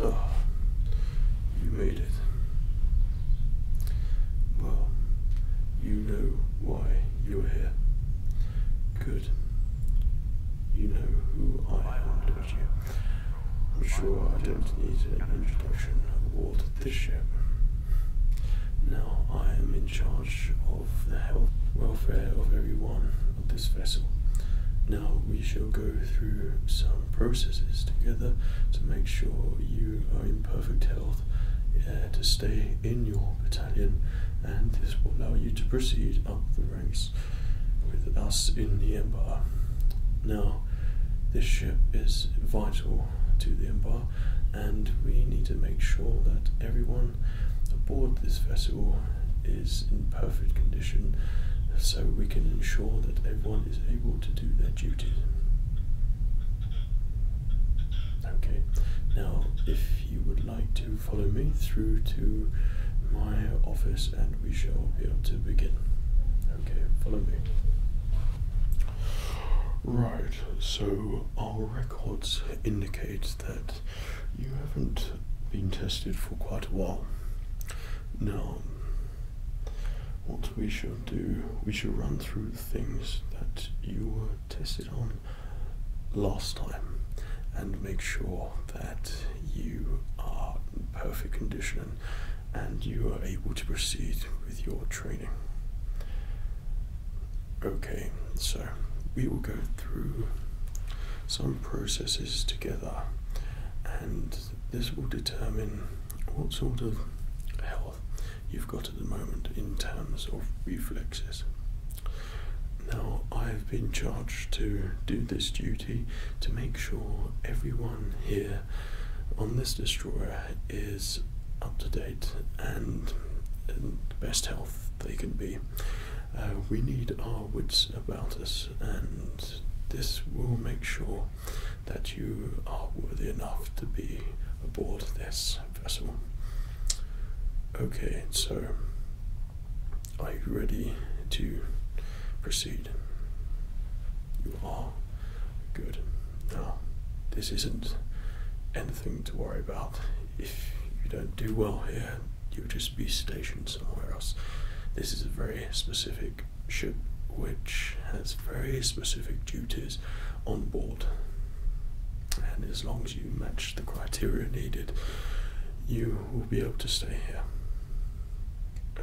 Oh, you made it. Well, you know why you're here. Good. You know who I am, don't you? I'm sure I don't need an introduction aboard this ship. Now I am in charge of the health welfare of everyone on this vessel. Now we shall go through some processes together to make sure you are in perfect health uh, to stay in your battalion and this will allow you to proceed up the ranks with us in the Empire. Now this ship is vital to the Empire and we need to make sure that everyone aboard this vessel is in perfect condition so we can ensure that everyone is able to do their duties. Okay, now if you would like to follow me through to my office and we shall be able to begin. Okay, follow me. Right, so I'll records indicate that you haven't been tested for quite a while. Now, what we shall do, we shall run through the things that you were tested on last time and make sure that you are in perfect condition and you are able to proceed with your training. Okay, so we will go through some processes together, and this will determine what sort of health you've got at the moment in terms of reflexes. Now, I've been charged to do this duty to make sure everyone here on this destroyer is up to date and best health they can be. Uh, we need our wits about us, and this will make sure that you are worthy enough to be aboard this vessel. Okay, so are you ready to proceed? You are good. Now, this isn't anything to worry about if you don't do well here, you'll just be stationed somewhere else. This is a very specific ship which has very specific duties on board. And as long as you match the criteria needed, you will be able to stay here.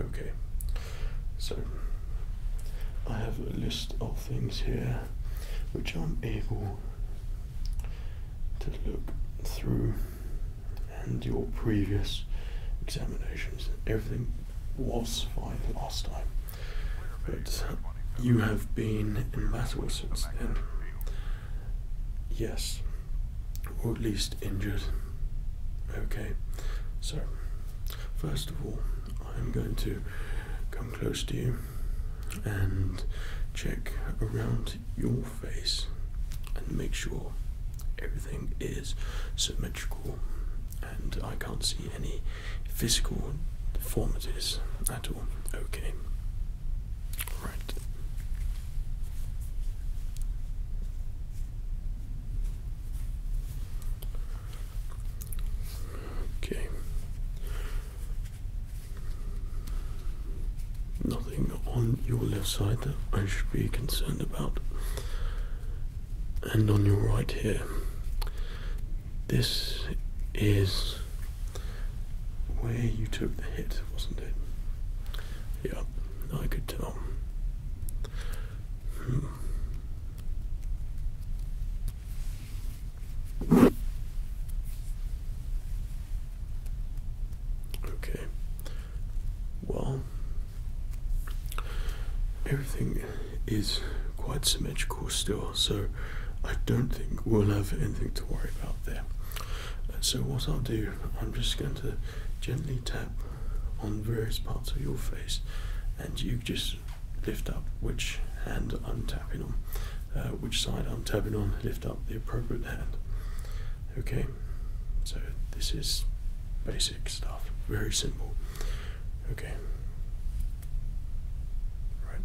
Okay, so I have a list of things here which I'm able to look through and your previous examinations. Everything was fine last time, but you have been in since then. Yes, or at least injured. Okay, so first of all, I'm going to come close to you and check around your face and make sure everything is symmetrical and I can't see any physical deformities at all. Okay. Right. Okay. Nothing on your left side that I should be concerned about. And on your right here. This is where you took the hit, wasn't it? Yeah, I could tell. Hmm. Okay. Well, everything is quite symmetrical still, so I don't think we'll have anything to worry about there. So, what I'll do, I'm just going to gently tap on various parts of your face, and you just lift up which hand I'm tapping on, uh, which side I'm tapping on, lift up the appropriate hand. Okay, so this is basic stuff, very simple. Okay. Right.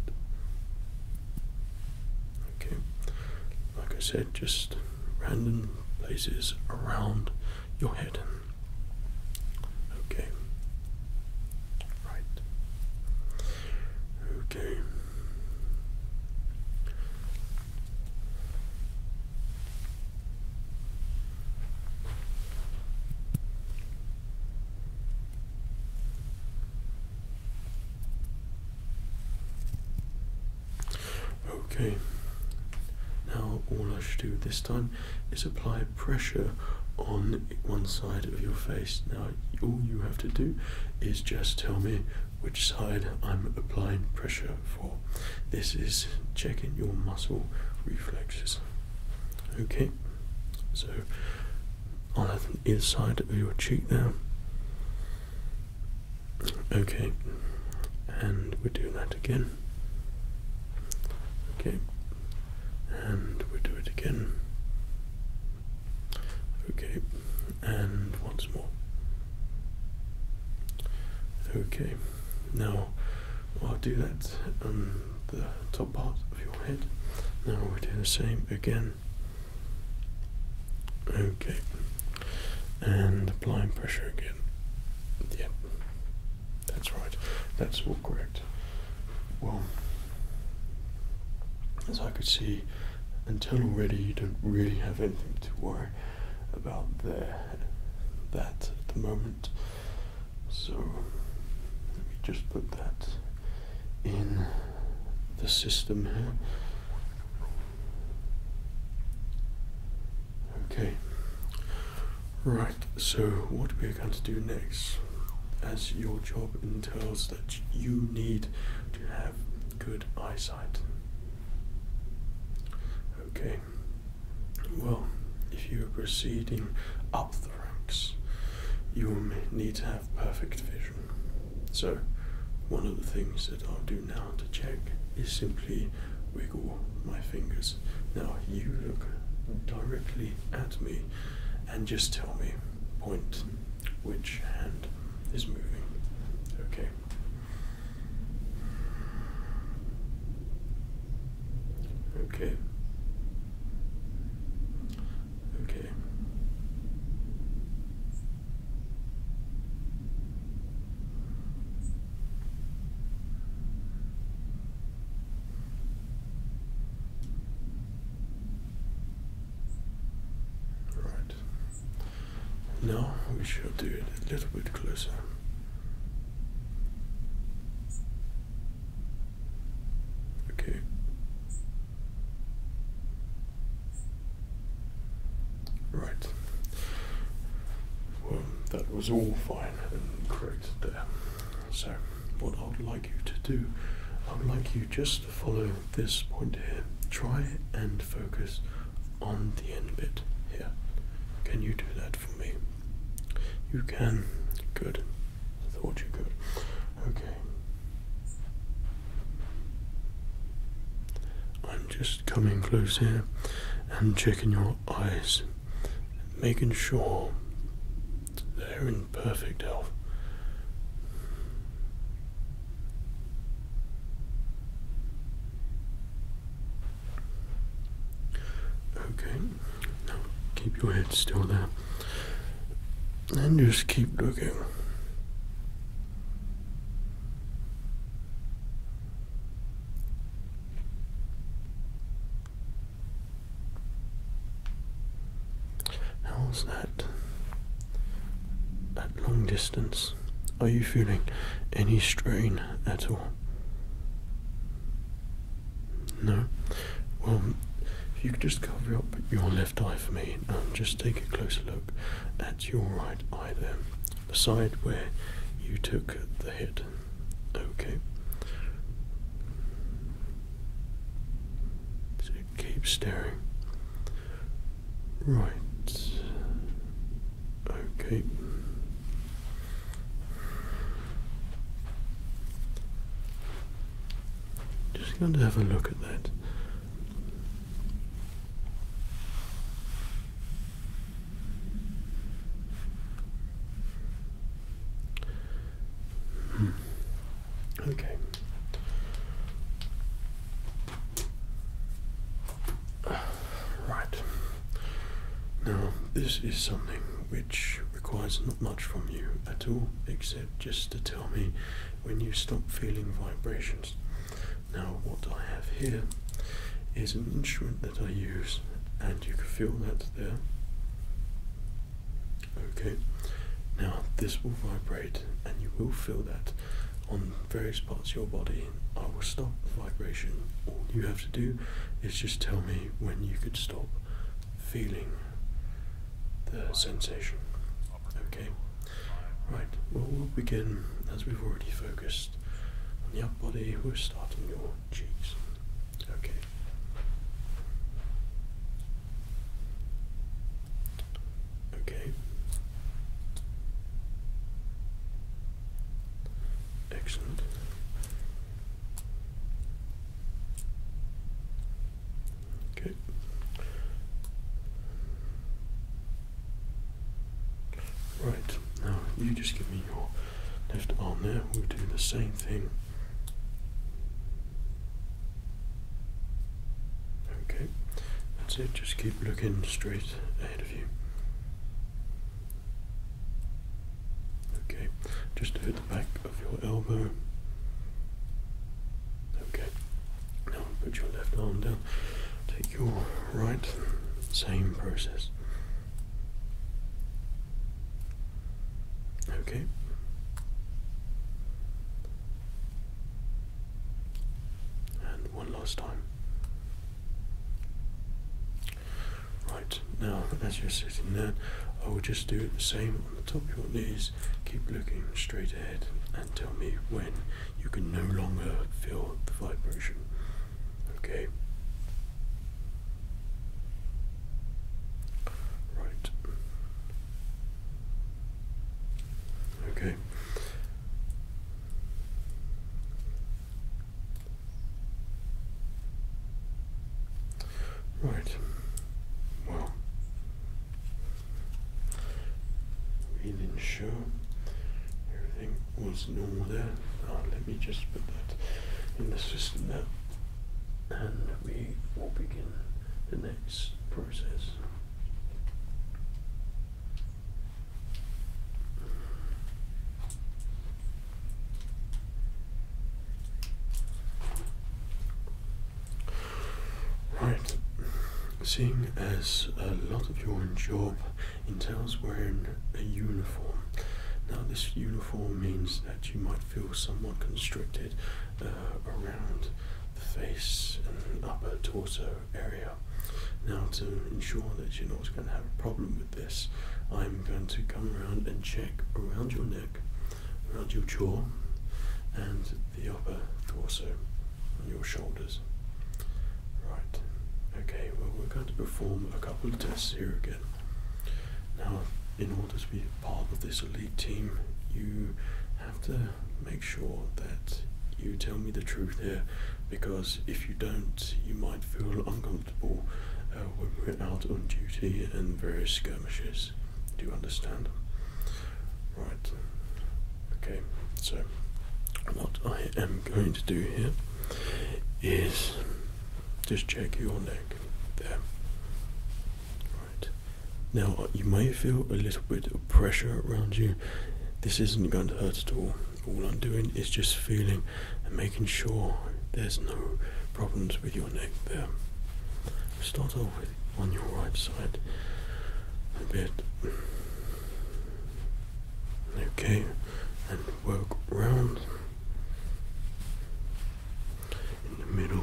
Okay. Like I said, just random places around your head. Okay. Right. Okay. Okay. Now all I should do this time is apply pressure on one side of your face. Now, all you have to do is just tell me which side I'm applying pressure for. This is checking your muscle reflexes. Okay, so on either side of your cheek there. Okay, and we are doing that again. Okay, and we do it again. Okay, and once more. Okay, now I'll do that on the top part of your head. Now we do the same again. Okay, and applying pressure again. Yep, that's right, that's all correct. Well, as I could see, until already you don't really have anything to worry about there that at the moment. So let me just put that in the system here. Okay. Right so what we're going to do next, as your job entails that you need to have good eyesight. Okay, well, if you are proceeding up the ranks, you need to have perfect vision. So, one of the things that I'll do now to check is simply wiggle my fingers. Now, you look directly at me and just tell me point which hand is moving. Okay. Okay. Okay. Right. Now we shall do it a little bit closer. Okay. Right. Well, that was all fine and correct there. So what I would like you to do, I would like you just to follow this point here. Try and focus on the end bit here. Can you do that for me? You can. Good. I thought you could. Okay. I'm just coming close here and checking your eyes, making sure they're in perfect health. Okay, now keep your head still there and just keep looking. How's that? At long distance, are you feeling any strain at all? No? Well, if you could just cover up your left eye for me and um, just take a closer look at your right eye there, the side where you took the hit. Okay. So keep staring. Right. Okay. Just going to have a look at that. Okay. Right. Now, this is something which requires not much from you at all, except just to tell me when you stop feeling vibrations. Now, what I have here is an instrument that I use, and you can feel that there. Okay, now this will vibrate and you will feel that on various parts of your body. I will stop the vibration. All you have to do is just tell me when you could stop feeling the sensation. Okay, right, well, we'll begin as we've already focused on the upper body. We're starting your cheeks. Okay. Okay. Excellent. Okay. Right, now you just give me your left arm there. We'll do the same thing Okay, that's it, just keep looking straight ahead of you. Okay, just at the back of your elbow. Okay, now put your left arm down, take your right, same process. Okay. And one last time. Right, now as you're sitting there, I will just do the same on the top of your knees. Keep looking straight ahead and tell me when you can no longer feel the vibration. Okay. Right. Okay. Right. Well, we didn't show everything was normal ah, let me just put that in the system now and we will begin the next process. Right, seeing as a lot of your job entails wearing a uniform. Now, this uniform means that you might feel somewhat constricted uh, around the face and upper torso area. Now, to ensure that you're not going to have a problem with this, I'm going to come around and check around your neck, around your jaw, and the upper torso on your shoulders. Right, okay, well, we're going to perform a couple of tests here again. Now, in order to be part of this elite team, you have to make sure that you tell me the truth here because if you don't, you might feel uncomfortable uh, when we're out on duty in various skirmishes. Do you understand? Right. Okay, so what I am going to do here is just check your neck there. Right. Now uh, you may feel a little bit of pressure around you. This isn't going to hurt at all. All I'm doing is just feeling and making sure there's no problems with your neck there. Start off with on your right side a bit. Okay, and work round in the middle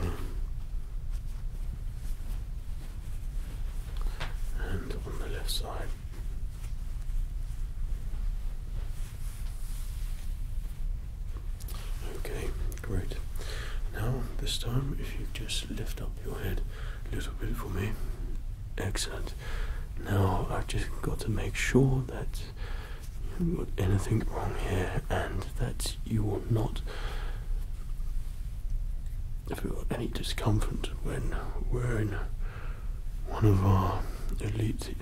and on the left side. Okay, great. Now, this time, if you just lift up your head a little bit for me. Excellent. Now, I've just got to make sure that you haven't got anything wrong here, and that you are not feel any discomfort when wearing one of our elite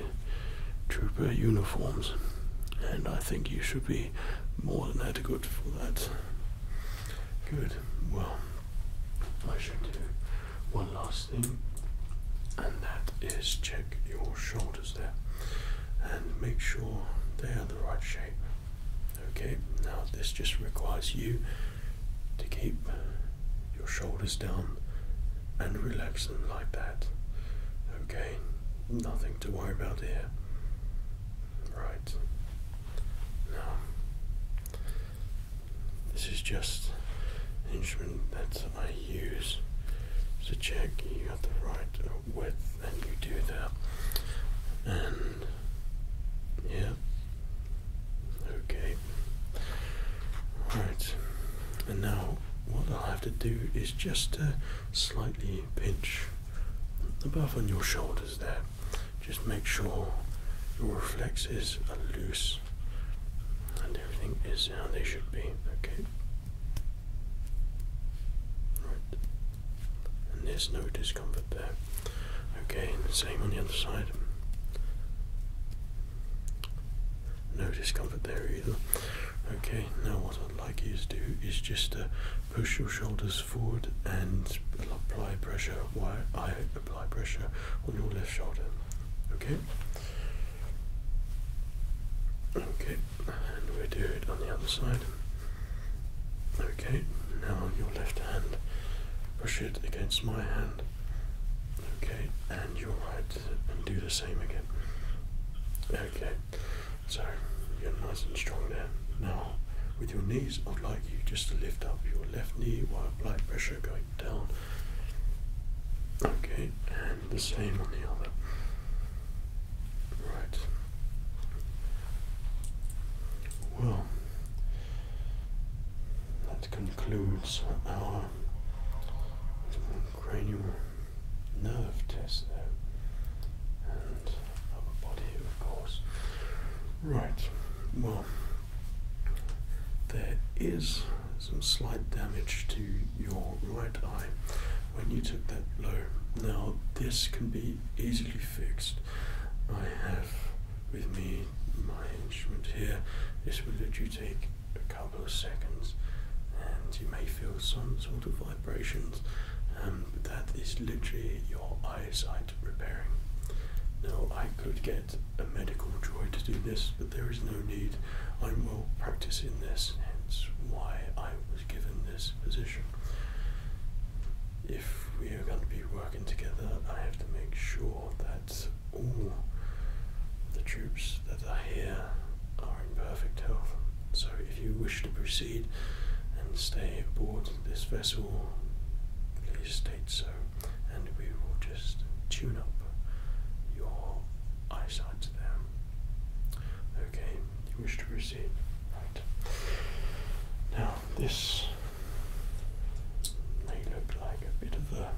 trooper uniforms, and I think you should be more than adequate for that. Good. Well, I should do one last thing, and that is check your shoulders there and make sure they are the right shape. Okay, now this just requires you to keep your shoulders down and relax them like that. Okay, nothing to worry about here. Right. Now, this is just an instrument that I use. to check you have the right uh, width and you do that. And yeah. Okay. Alright. And now what I'll have to do is just uh, slightly pinch above on your shoulders there. Just make sure your reflexes are loose and everything is how they should be. Okay. And there's no discomfort there. Okay, and the same on the other side. No discomfort there either. Okay, now what I'd like you to do is just to uh, push your shoulders forward and apply pressure while I apply pressure on your left shoulder. Okay? Okay, and we do it on the other side. Okay, now your left hand, push it against my hand. Okay, and your right, and do the same again. Okay, so you're nice and strong there. Now, with your knees, I'd like you just to lift up your left knee while applying pressure going down. Okay, the same on the other. Right. Well, that concludes our cranial nerve test And upper body, of course. Right. Well, there is some slight damage to your right eye when you took that blow. Now, this can be easily fixed. I have with me my instrument here. This will let you take a couple of seconds and you may feel some sort of vibrations, um, that is literally your eyesight repairing. Now, I could get a medical droid to do this but there is no need. I'm well practiced in this, hence why I was given this position. If we are going to be working together, I have to make sure that all the troops that are here are in perfect health. So if you wish to proceed and stay aboard this vessel, please state so, and we will just tune up your eyesight to them. Okay, you wish to proceed. Right. Now, this may look like a bit of a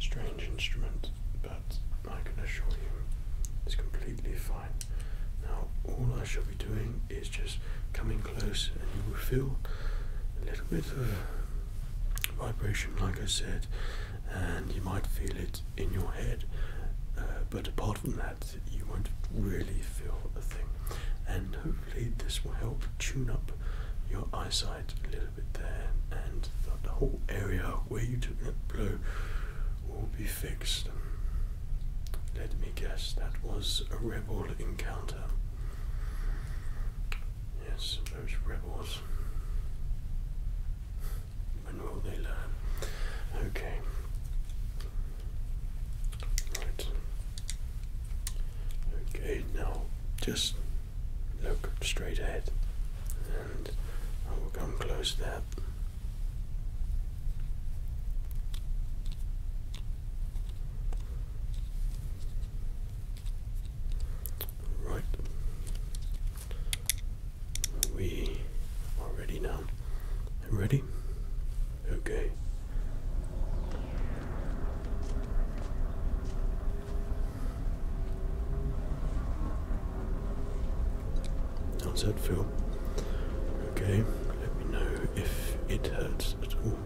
strange instrument, but I can assure you it's completely fine. Now, all I shall be doing is just coming close, and you will feel a little bit of vibration, like I said, and you might feel it in your head, uh, but apart from that, you won't really feel a thing. And hopefully, this will help tune up your eyesight a little bit there, and the whole area where you took that blow will be fixed. Um, let me guess, that was a rebel encounter. Yes those rebels. When will they learn? Okay. Right. Okay, now just look straight ahead and I will come close to that. Right. We are ready now. Ready? Okay. How's that feel? Okay, let me know if it hurts at all.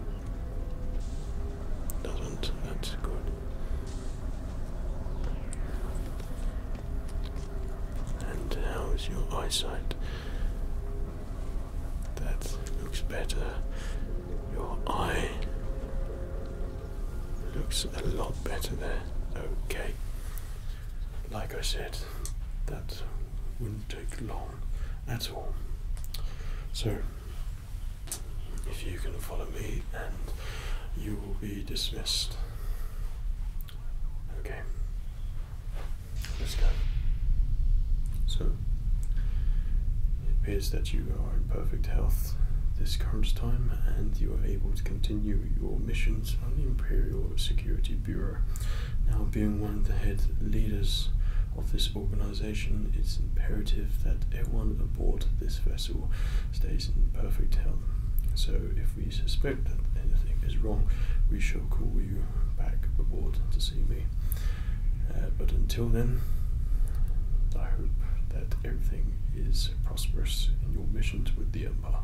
Doesn't. That's good. And how is your eyesight? That looks better. Your eye looks a lot better there. Okay. Like I said, that wouldn't take long at all. So, if you can follow me, and you will be dismissed. Okay, let's go. So, it appears that you are in perfect health this current time, and you are able to continue your missions on the Imperial Security Bureau. Now, being one of the head leaders of this organization, it's imperative that everyone aboard this vessel stays in perfect health. So, if we suspect that anything is wrong, we shall call you back aboard to see me. Uh, but until then, I hope that everything is prosperous in your missions with the Empire.